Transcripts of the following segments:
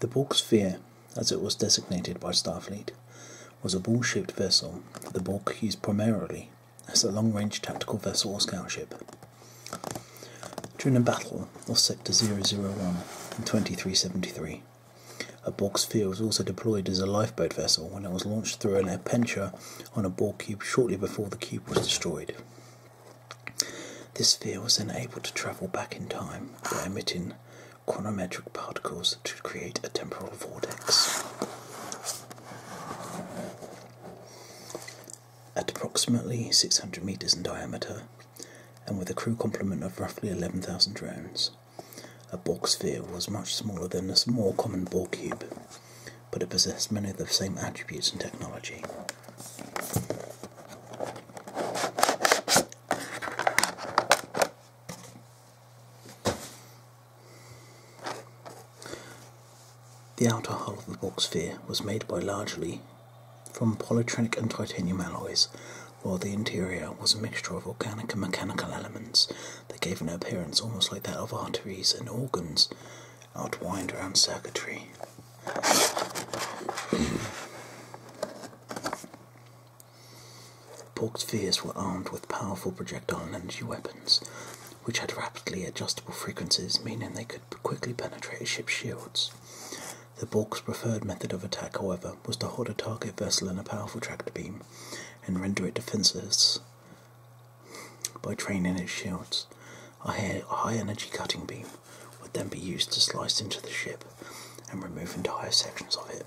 The Borg Sphere, as it was designated by Starfleet, was a ball shaped vessel the Borg used primarily as a long range tactical vessel or scout ship. During a battle off Sector 001 in 2373, a Borg Sphere was also deployed as a lifeboat vessel when it was launched through thrown a pincher on a ball cube shortly before the cube was destroyed. This sphere was then able to travel back in time by emitting chronometric particles to create a temporal vortex. At approximately 600 metres in diameter, and with a crew complement of roughly 11,000 drones, a box sphere was much smaller than the more common ball cube, but it possessed many of the same attributes and technology. The outer hull of the box sphere was made by largely from polytronic and titanium alloys, while the interior was a mixture of organic and mechanical elements that gave an appearance almost like that of arteries and organs outwined around circuitry. Porked spheres were armed with powerful projectile energy weapons, which had rapidly adjustable frequencies, meaning they could quickly penetrate a ship's shields. The Borg's preferred method of attack, however, was to hold a target vessel in a powerful tractor beam and render it defenseless by training its shields. A high energy cutting beam would then be used to slice into the ship and remove entire sections of it.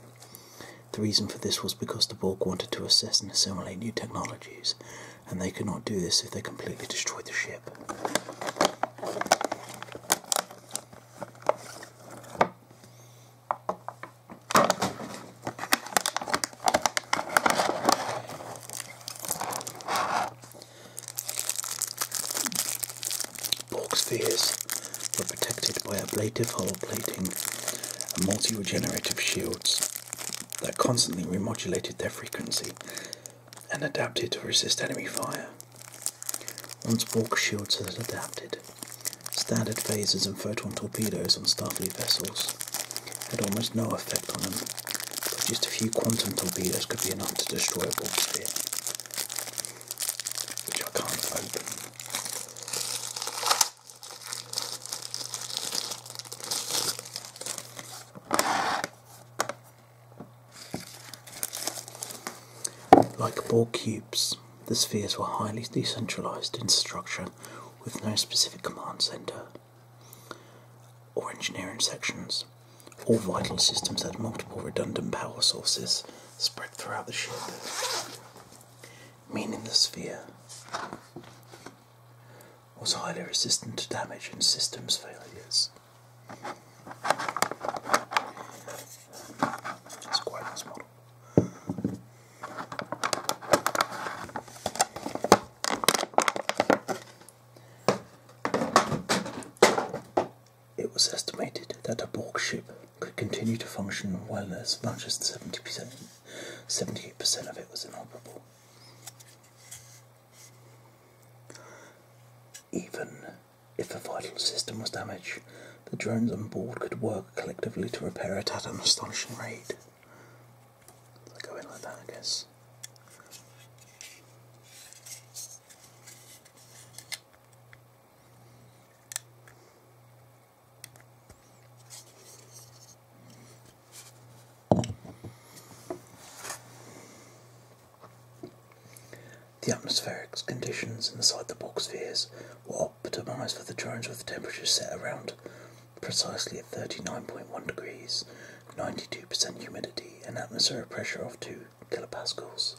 The reason for this was because the Borg wanted to assess and assimilate new technologies, and they could not do this if they completely destroyed the ship. Pork spheres were protected by ablative hull plating and multi-regenerative shields that constantly remodulated their frequency and adapted to resist enemy fire. Once Borg shields had adapted, standard phasers and photon torpedoes on Starfleet vessels had almost no effect on them, but just a few quantum torpedoes could be enough to destroy a Borg sphere, which I can't open. Like Borg cubes, the spheres were highly decentralized in structure with no specific command center or engineering sections. All vital systems had multiple redundant power sources spread throughout the ship, meaning the sphere was highly resistant to damage and systems failures. It was estimated that a Borg ship could continue to function while as much as 70%, 78% of it was inoperable. Even if the vital system was damaged, the drones on board could work collectively to repair it at an astonishing rate. They go in like that, I guess. The atmospheric conditions inside the bulk spheres were optimised for the drones with temperatures set around precisely at 39.1 degrees, 92% humidity, and atmospheric pressure of 2 kilopascals.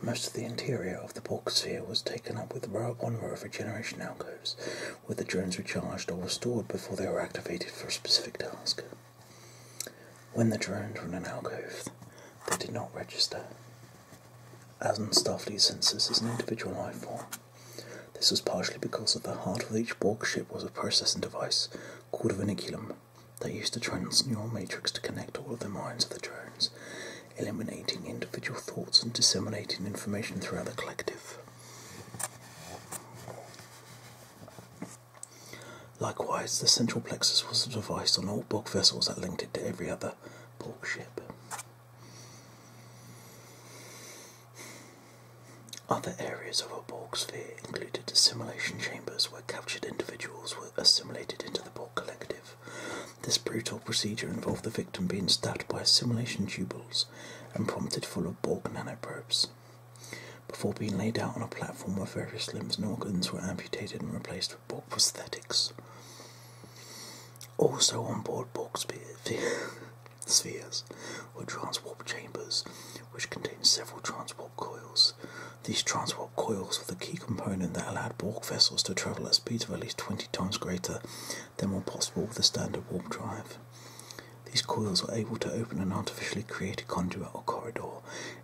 Most of the interior of the bulk sphere was taken up with row upon row of regeneration alcoves, where the drones were charged or restored before they were activated for a specific task. When the drones were in an alcove, they did not register. As in Starfleet census as an individual life form. This was partially because at the heart of each Borg ship was a processing device called a viniculum that used a transneural matrix to connect all of the minds of the drones, eliminating individual thoughts and disseminating information throughout the collective. Likewise, the central plexus was devised on all Borg vessels that linked it to every other Borg ship. Other areas of a Borg sphere included assimilation chambers where captured individuals were assimilated into the Borg collective. This brutal procedure involved the victim being stabbed by assimilation tubules and prompted full of Borg nanoprobes. Before being laid out on a platform where various limbs and organs were amputated and replaced with Borg prosthetics. Also on board Borg spheres were transwarp chambers, which contained several transwarp coils. These transwarp coils were the key component that allowed Borg vessels to travel at speeds of at least 20 times greater than were possible with the standard warp drive. These coils were able to open an artificially created conduit or corridor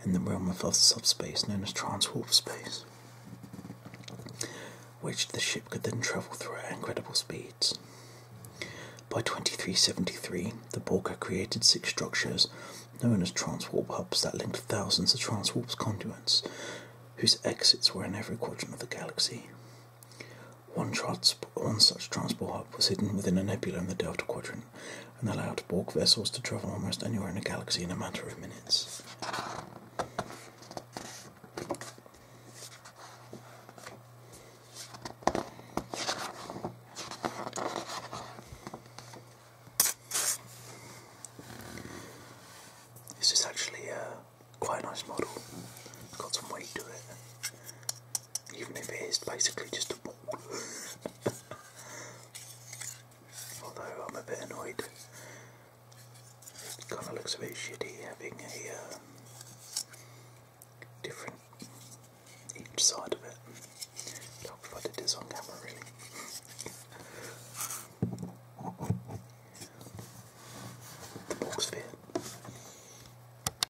in the realm of subspace known as transwarp space, which the ship could then travel through at incredible speeds. By 2373, the Borka created six structures known as transwarp hubs that linked thousands of transwarp conduits whose exits were in every quadrant of the galaxy. One, such transwarp hub was hidden within a nebula in the Delta Quadrant, and allowed bulk vessels to travel almost anywhere in the galaxy in a matter of minutes. This is actually uh, a quite nice model. It's got some weight to it even if it is basically just a ball. Although I'm a bit annoyed. It kind of looks a bit shitty having a um, different each side of it. But I'll put on camera really. ball sphere.